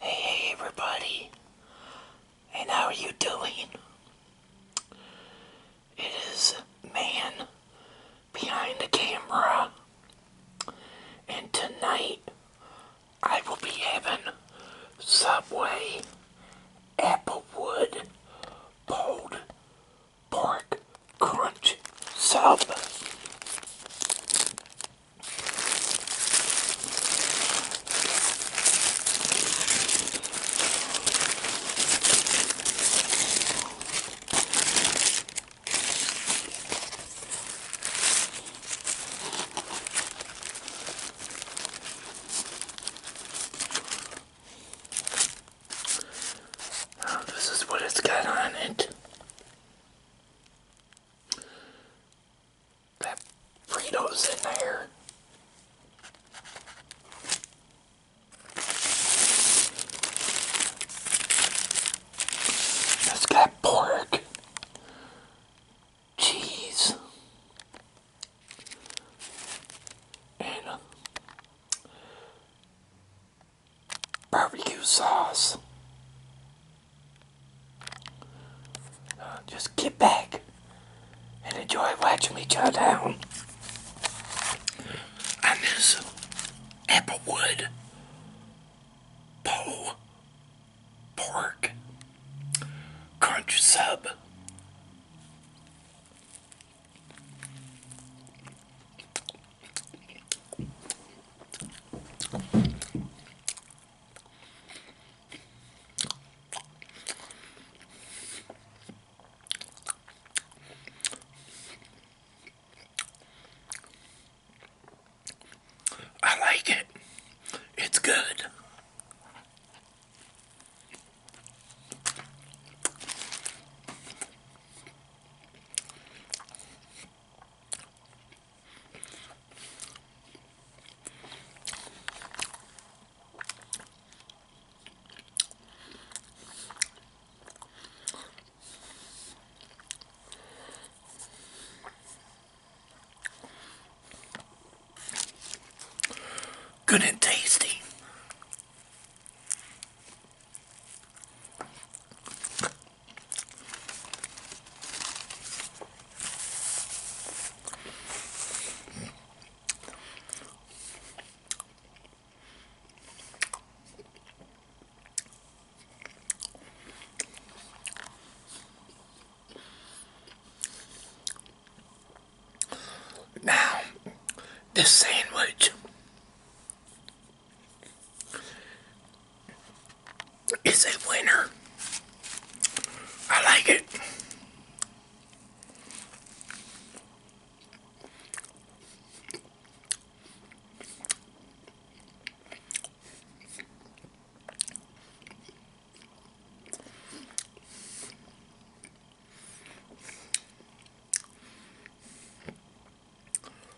Hey everybody, and how are you doing? It is man behind the camera, and tonight I will be having Subway Applewood pulled pork crunch sub. Oh, this is what it's got on it. That Frito's in there. It's got pork, cheese, and uh, barbecue sauce. Uh, just get back and enjoy watching me chow down on this applewood pole pork crunch sub. I like it. It's good. Good and tasty. Now, this sandwich it's a winner. I like it.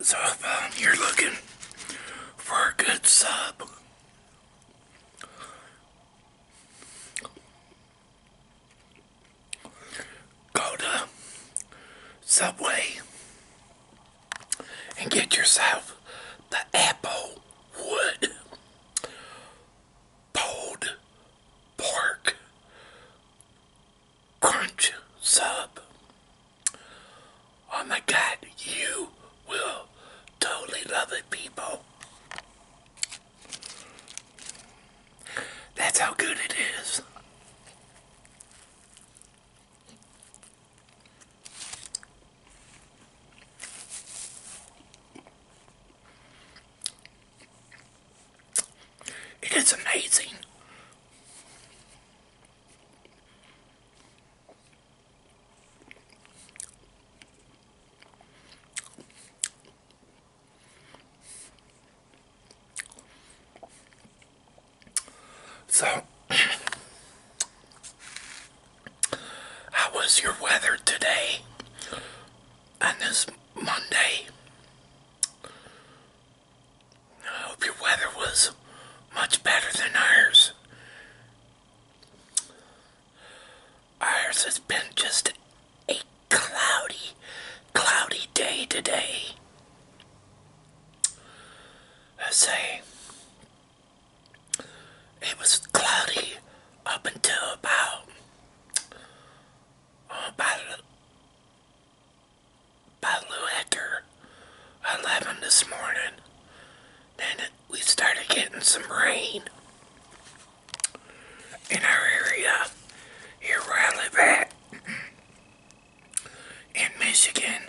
So if um, you're looking for a good sub, go to Subway and get yourself the apple wood pulled pork crunch sub. Oh my god, you will totally love it, people. That's how good it is. It is amazing. So, how was your weather today? on this Monday. I hope your weather was much better than ours. Ours has been just a cloudy, cloudy day today. I say, it was cloudy up until about uh, by, by Lou 11 this morning. Then we started getting some rain in our area here where at in Michigan.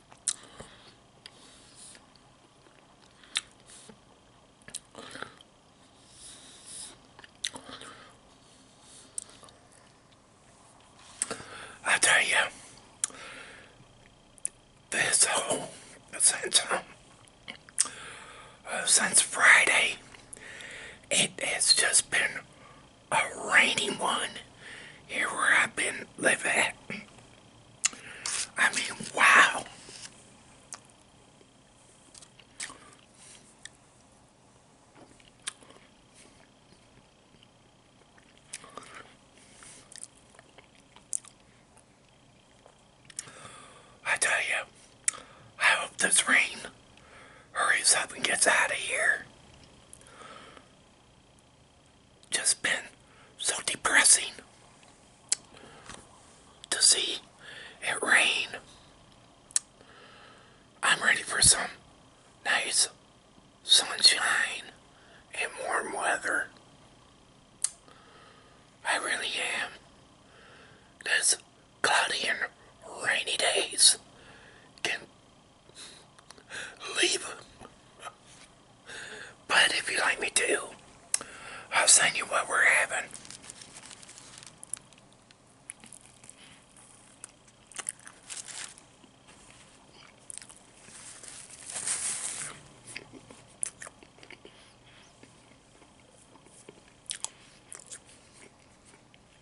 I tell you, this whole since since Friday, it has just been a rainy one here where I've been living I mean, wow. I tell you, I hope this rain hurries up and gets out of here just been so depressing to see it rain. I'm ready for some nice sunshine and warm weather. I really am. This cloudy and rainy days can leave them. But if you like me to, I'll send you what we're having.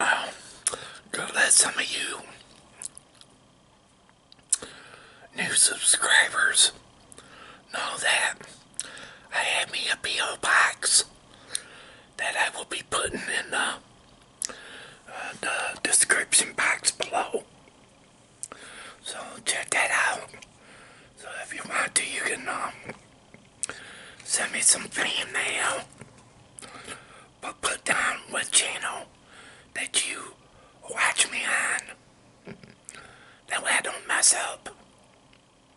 Um, go let some of you new subscribers know that I have me a P.O. box that I will be putting in uh, uh, the, description box below. So check that out. So if you want to, you can um, send me some fan mail. But put down what channel that you watch me on. That way I don't mess up.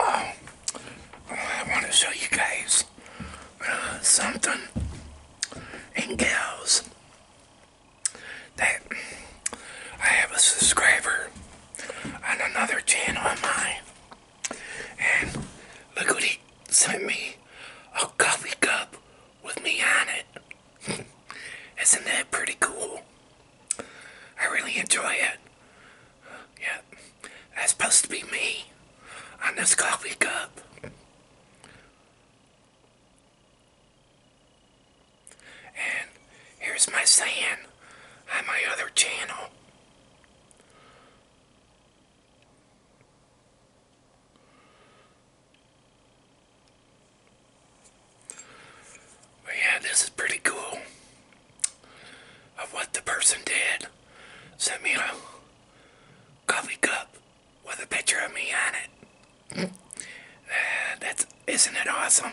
Oh, I want to show you guys uh, something and gals that I have a subscriber on another channel of mine and look what he sent me. A coffee cup with me on it. Isn't that pretty cool? I really enjoy it. Yeah, that's supposed to be me on this coffee cup. And here's my saying on my other channel. But yeah, this is pretty cool of what the person did. Sent me a coffee cup with a picture of me on it. that's isn't it awesome?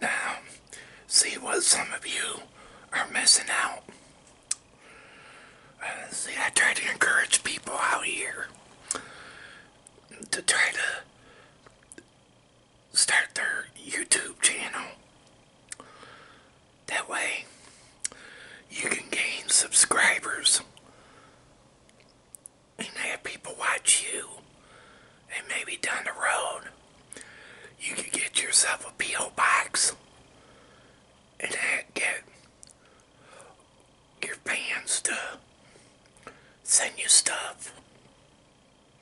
Now, see what some of you are missing out. Uh, see, I try to encourage people out here to try to start their YouTube channel. That way, you can gain subscribers and have people watch you. And maybe down the road, you could get yourself a P.O. box and get your fans to send you stuff.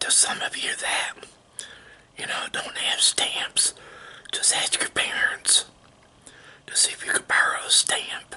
to some of you that, you know, don't have stamps, just ask your parents to see if you can borrow a stamp.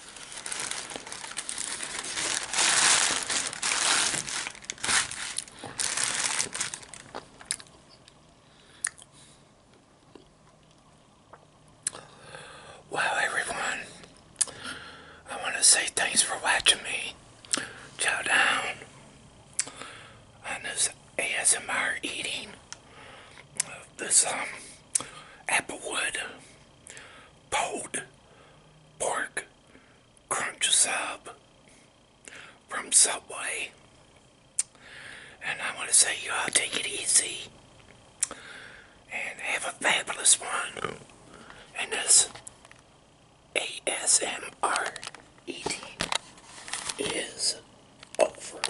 Wow, everyone, I want to say thanks for watching me. Chow down on this ASMR eating of this um, applewood pulled pork crunch sub from Subway. And I want to say you all take it easy and have a fabulous one And this ASMR eating is over.